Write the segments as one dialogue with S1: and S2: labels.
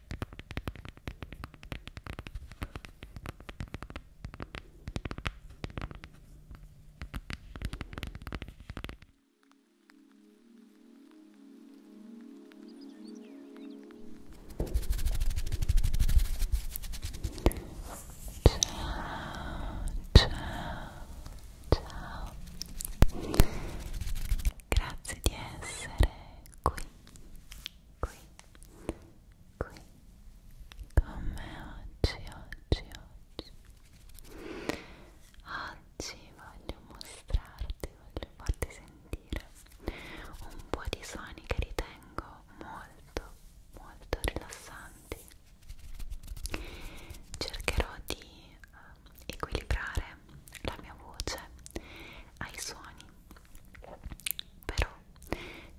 S1: ciao grazie di essere qui qui, qui con me oggi, oggi, oggi oggi voglio mostrarti, voglio farti sentire un po' di suoni che ritengo molto, molto rilassanti cercherò di eh, equilibrare la mia voce ai suoni però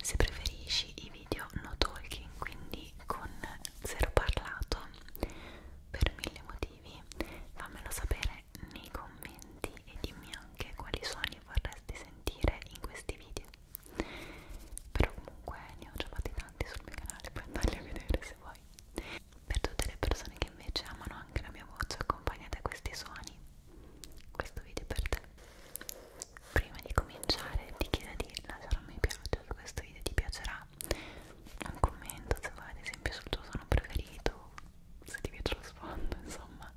S1: se preferisci i video no talking, quindi con zero parlato, per mille motivi, fammelo sapere nei commenti e dimmi anche quali suoni vorresti sentire in questi video. Però comunque ne ho già fatti tanti sul mio canale, puoi andarli a vedere se vuoi. Per tutte le persone che invece amano anche la mia voce accompagnata a questi suoni, questo video è per te prima di cominciare ti chiedo di lasciare un mi piace se questo video ti piacerà un commento se vuoi ad esempio sul tuo suono preferito se ti piace lo sfondo insomma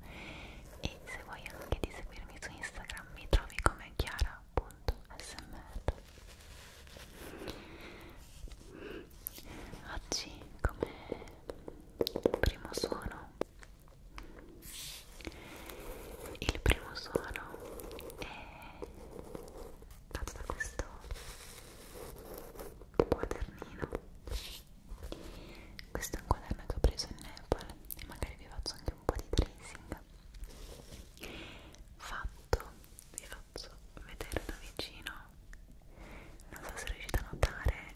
S1: e se vuoi anche di seguirmi su Instagram mi trovi come chiara.smr oggi come primo suono il primo suono è fatto da questo quadernino. Questo è un quaderno che ho preso in Nepal e magari vi faccio anche un po' di tracing. Fatto, vi faccio vedere da vicino. Non so se riuscite a notare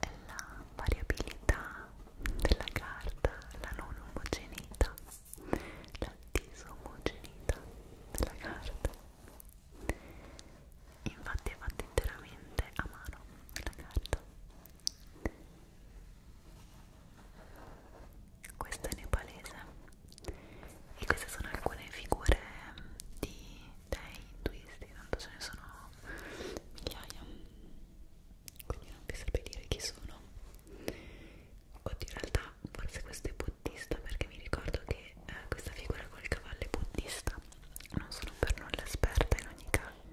S1: è la variabilità della carta, la non omogeneità, la disomogeneità della carta. Infatti è fatta interamente a mano la carta. Questa è nepalese e queste sono alcune figure di dei twisti, tanto ce ne sono migliaia quindi non vi saprei dire chi sono oddio in realtà forse questo è buddista perché mi ricordo che eh, questa figura col cavallo è buddista non sono per nulla esperta in ogni caso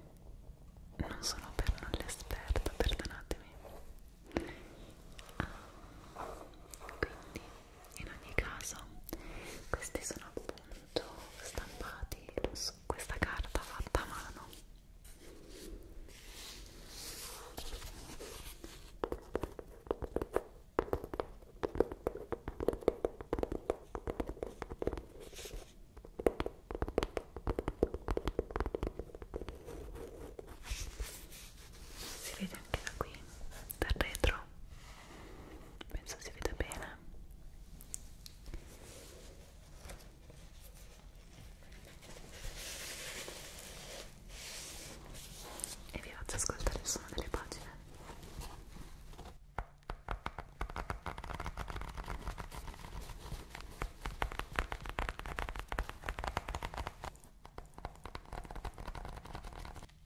S1: non sono per nulla esperta, perdonatemi ah, quindi in ogni caso questi sono appunto appunto stampati su questa carta fatta a mano si vede anche da qui, dal retro penso si veda bene e vi faccio ascoltare il suono delle pagine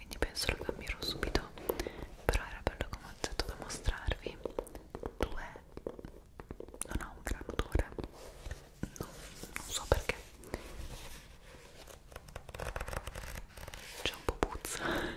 S1: quindi penso lo cambierò subito però era bello come ho detto da mostrarvi due non ha un gran odore no, non so perché c'è un po' puzza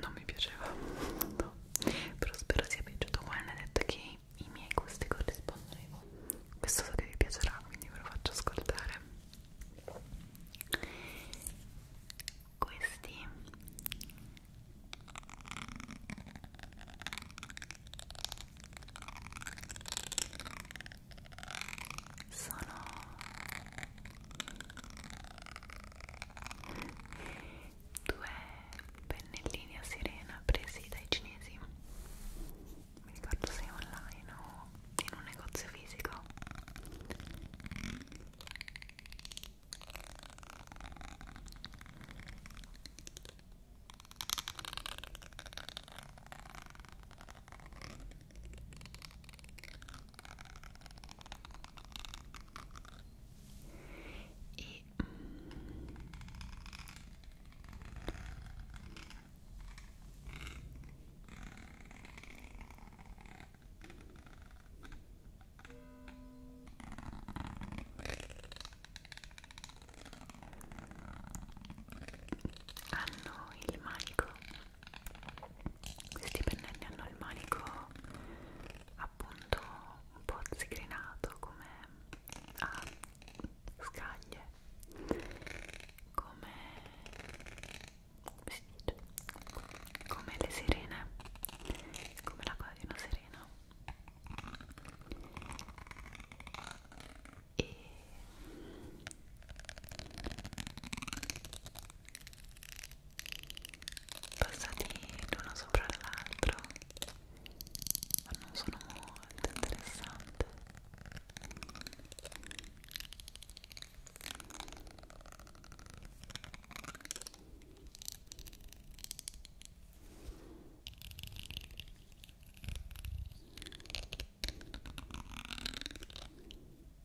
S1: non mi piaceva no. però spero sia piaciuto Juan ha detto che i miei gusti corrispondono ai vostri questo so che vi piacerà quindi ve lo faccio ascoltare questi sono due pennellini a sirena presi dai cinesi mi ricordo se online o in un negozio fisico e mm, hanno il manico questi pennelli hanno il manico appunto un po' zigrinato come a scaglie come, come le sirene come la coda di una sirena e passati l'uno sopra l'altro ma non sono molto interessante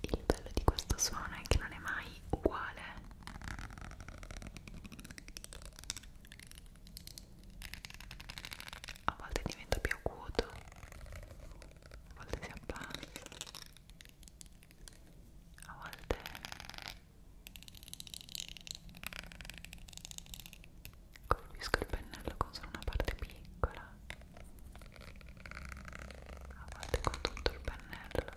S1: Il bello di questo suono è che non è mai uguale a volte diventa più acuto a volte si abbassa a volte colpisco il pennello con solo una parte piccola a volte con tutto il pennello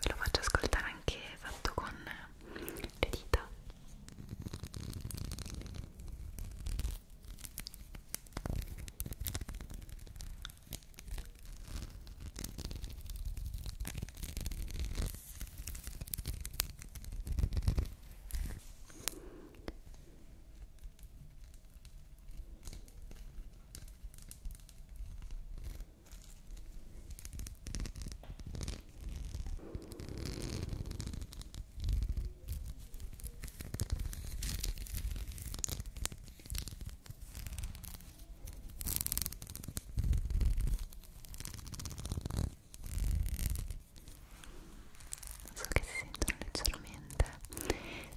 S1: Ve lo faccio ascoltare anche fatto con le dita. Ecco So che si sentono leggermente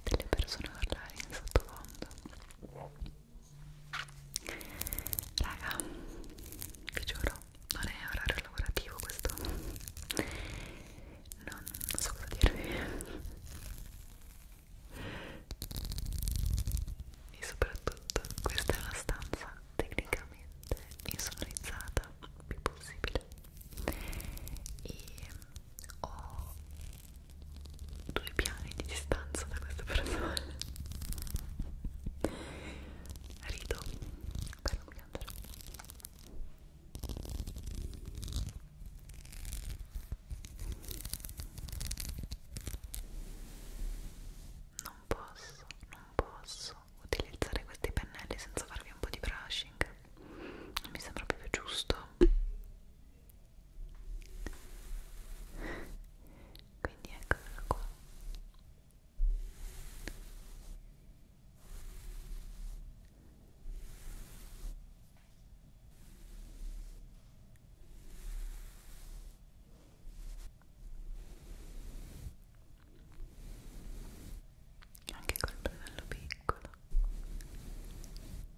S1: delle persone parlare in sottofondo raga vi giuro non è orario lavorativo questo non, non so cosa dirvi e soprattutto questa è una stanza tecnicamente insonorizzata più possibile e ho due piani di distanza da questa persona rido per non piangere non posso, non posso utilizzare questi pennelli senza farvi un po' di brushing non mi sembra proprio giusto quindi eccola qua anche col bello piccolo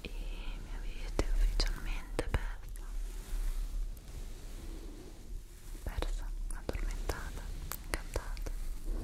S1: e mi avete ufficialmente perso persa, addormentata, incantata. Ora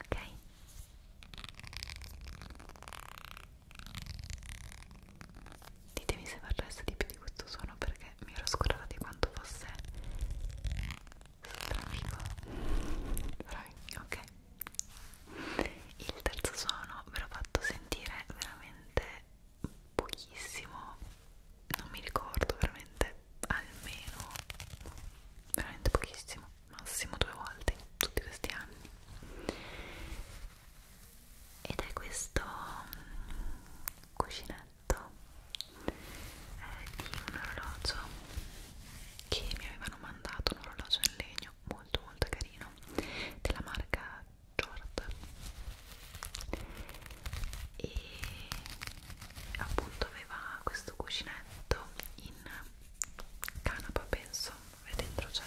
S1: Ok. Ditemi se vi di più di questo suono perché mi ero scordata di quanto fosse Trafico. Bravi, ok. Il terzo suono ve l'ho fatto sentire veramente pochissimo. Non mi ricordo veramente almeno veramente pochissimo, massimo due volte in tutti questi anni. Ed è questo um, cuscinetto eh, di un orologio che mi avevano mandato un orologio in legno molto molto carino della marca Jord e appunto aveva questo cuscinetto in canapa penso e dentro c'è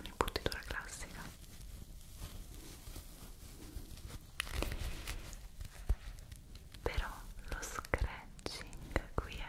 S1: un'imputitura classica però lo scratching qui è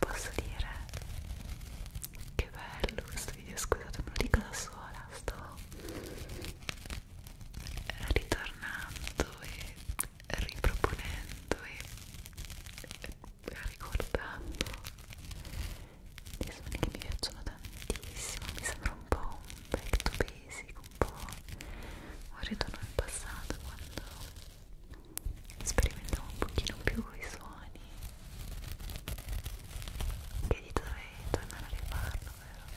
S1: Posso dire che bello questo video, scusate, me lo dico da sola, sto ritornando e riproponendo e ricordando dei suoni che mi piacciono tantissimo mi sembra un po' un back to basic un po' un ritorno al passato quando sperimentiamo un pochino più i suoni che gli dovrei tornare a rifarlo vero?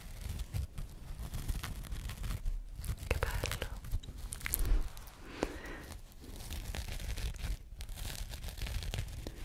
S1: che bello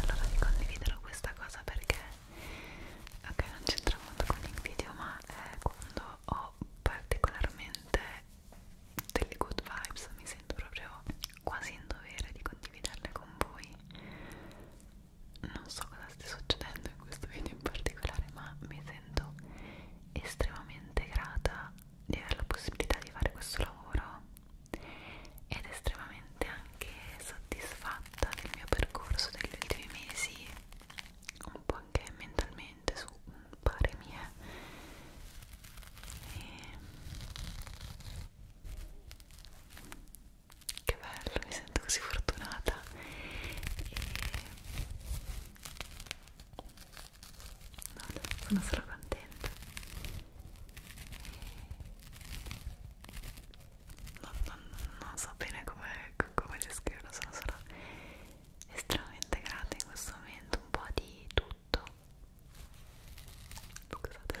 S1: allora vi condividerò questa cosa perché ok non c'entra molto con il video ma è quando ho particolarmente delle good vibes mi sento proprio quasi in dovere di condividerle con voi non so cosa stia succedendo in questo video in particolare ma mi sento estremamente grata di avere la possibilità di fare questo lavoro ed estremamente anche soddisfatta del mio percorso degli ultimi mesi un po' anche mentalmente su pare mie e... che bello mi sento così fortunata e Vale, sono solo contenta. Non, non, non so bene come, come descriverlo, sono solo estremamente grata in questo momento, un po' di tutto. Scusate.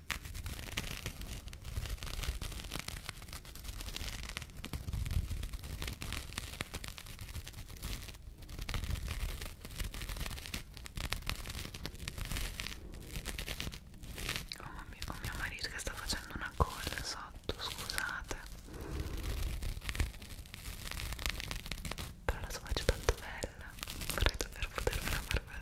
S1: Oh, mio, oh mio marito che sta facendo una call sotto, scusate. Però la sua faccia è tanto bella. Vorrei davvero potermela far poter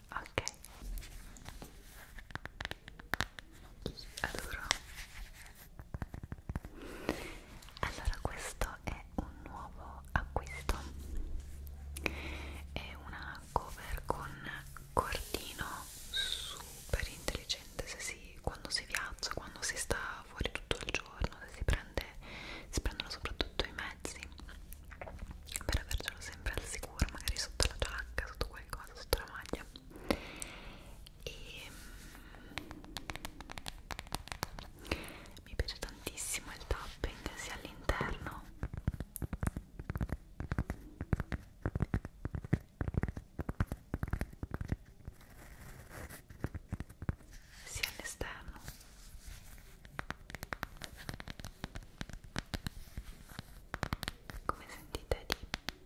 S1: ok adoro allora questo è un nuovo acquisto è una cover con cordino super intelligente se si, quando si viaggia quando si sta fuori tutto il giorno se si prende si prendono soprattutto i mezzi per avercelo sempre al sicuro magari sotto la giacca, sotto qualcosa, sotto la maglia e mm, mi piace tantissimo il tapping sia all'interno sia all'esterno come sentite di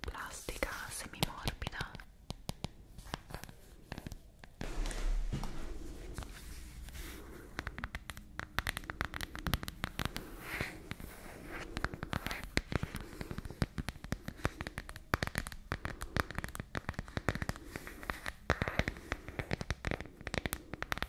S1: plastica semi morbida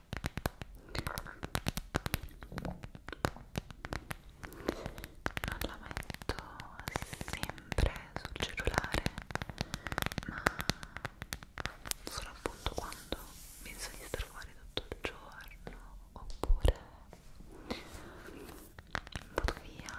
S1: non la metto sempre sul cellulare ma solo appunto quando penso di star fuori tutto il giorno oppure vado via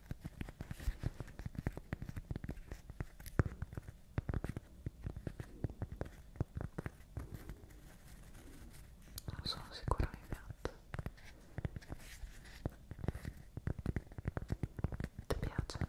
S1: Non sono sicura mi piace. Ti piace?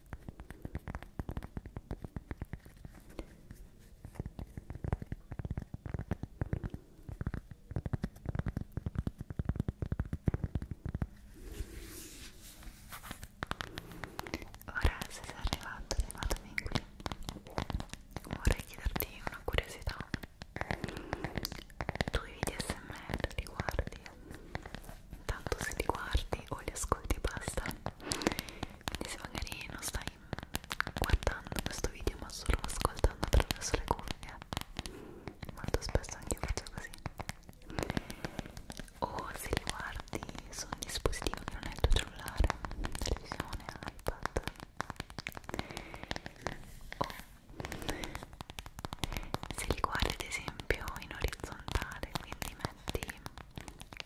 S1: Ora, se sei arrivato, arrivatemi qui. Vorrei chiederti una curiosità. Tu i video smr li guardi? Tanto se li guardi o li ascolti e basta quindi se magari non stai guardando questo video ma solo ascoltando attraverso le cuffie molto spesso anche io faccio così o se li guardi su un dispositivo che non è il tuo cellulare televisione, iPad o se li guardi ad esempio in orizzontale quindi metti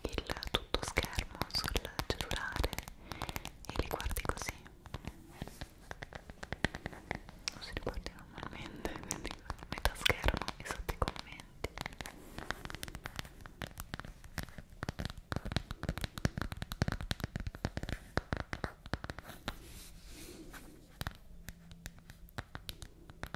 S1: il tutto schermo sul cellulare e li guardi così non si ricordi normalmente quindi metà schermo e sotto i commenti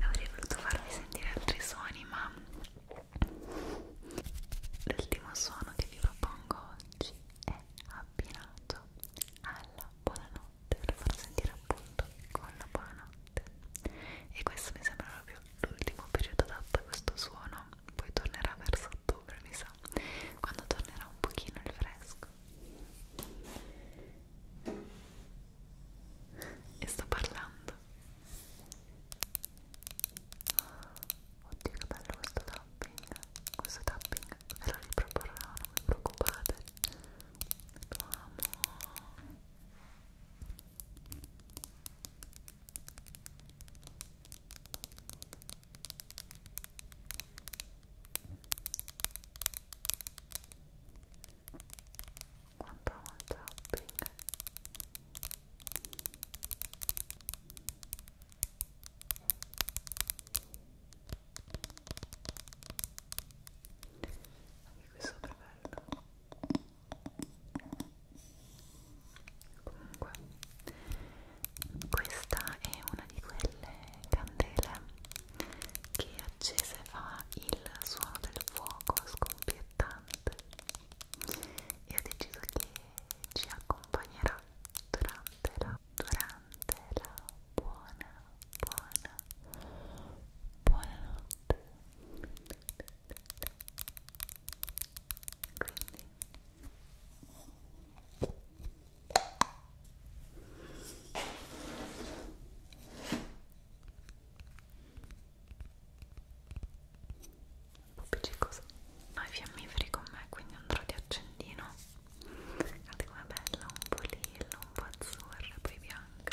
S1: Avrei voluto farvi sentire altri suoni, ma l'ultimo suono che vi propongo oggi è abbinato alla buonanotte per farlo sentire appunto con la buonanotte e questo mi sembra proprio l'ultimo periodo adatto a questo suono poi tornerà verso ottobre mi sa quando tornerà un pochino il fresco e sto parlando oddio che bello questo tapping questo tapping ve lo riproporrò non vi preoccupate lo amo quanto amo il tapping anche questo è bello comunque questa è una di quelle candele che accese fa il suono del fuoco scoppiettante e ho deciso che ci accompagnerà durante la, durante la buona, buona, buonanotte quindi un po' appiccicosa no i fiammiferi con me quindi andrò di accendino guardate com'è bella un po' lilla, un po' azzurra, poi bianca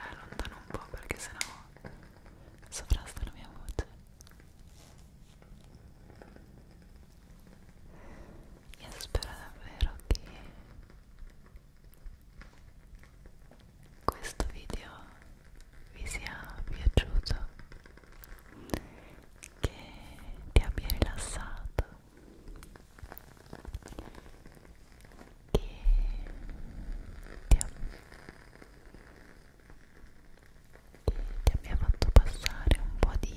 S1: allontano eh, un po' perché sennò sovrasta la mia voce io spero davvero che questo video vi sia piaciuto, che ti abbia rilassato, che ti, ab che ti abbia fatto passare un po' di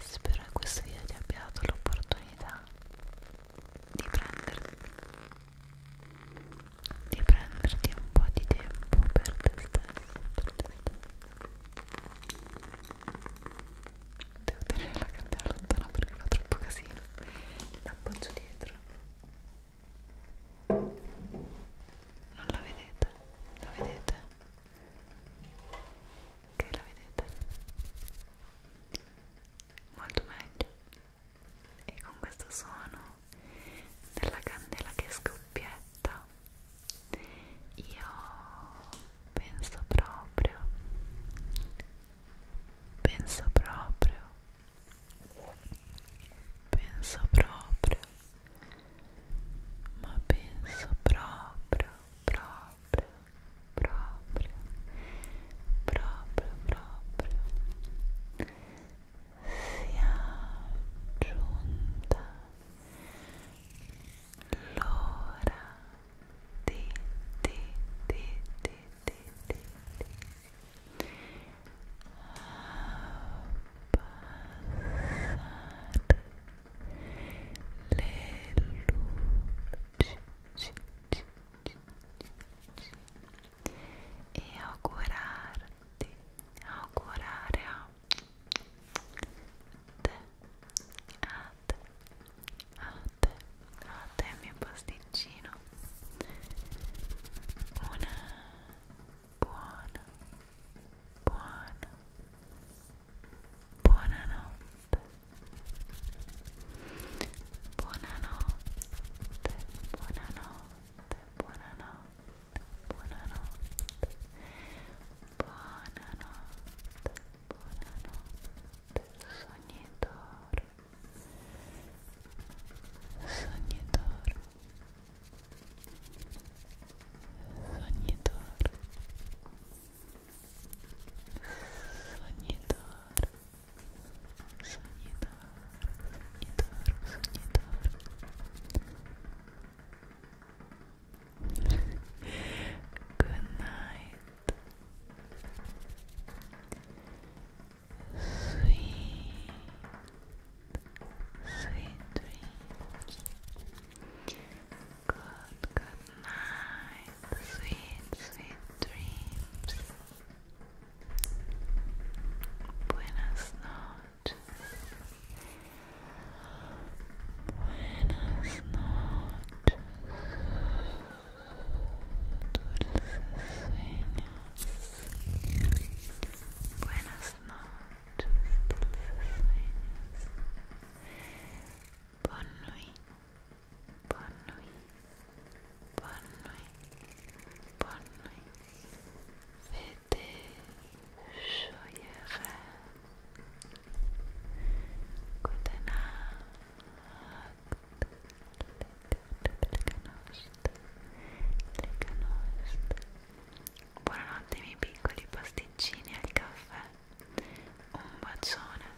S1: spero che questo video ti abbia dato l'opportunità di prenderti di prenderti un po' di tempo per te stesso per te stesso devo tenere la candela lontana perché fa troppo casino l'appoggio dietro non la vedete? la vedete? ok la vedete molto meglio e con questo suono della candela che scoppietta io penso proprio penso proprio penso proprio ma penso proprio proprio proprio proprio proprio sia giunta l'ora di di di di di di, di. Passare le luci e augurarti, augurare a te, a te, a te, a te mio pasticcino una buona, buona, buonanotte buonanotte buonanotte buonanotte buonanotte buonanotte buonanotte sognitore sognitore Sognitore, Sonidor, sonidor, sonidor, sonidor. Good night. Sweet, sweet dreams. Good, good night. Sweet, sweet dreams. Buenas noches. Buenas noches. Dulces sueños. Buenas noches, dulces sueños. Bonne nuit. Bonne nuit. Bonne nuit. Bonne nuit. Fais des joyeux rêves. Gute Buonanotte miei piccoli pasticcini al caffè un bacione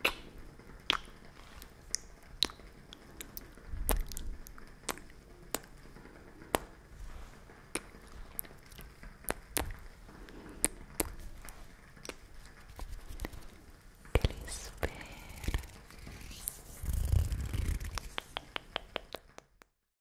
S1: che li spera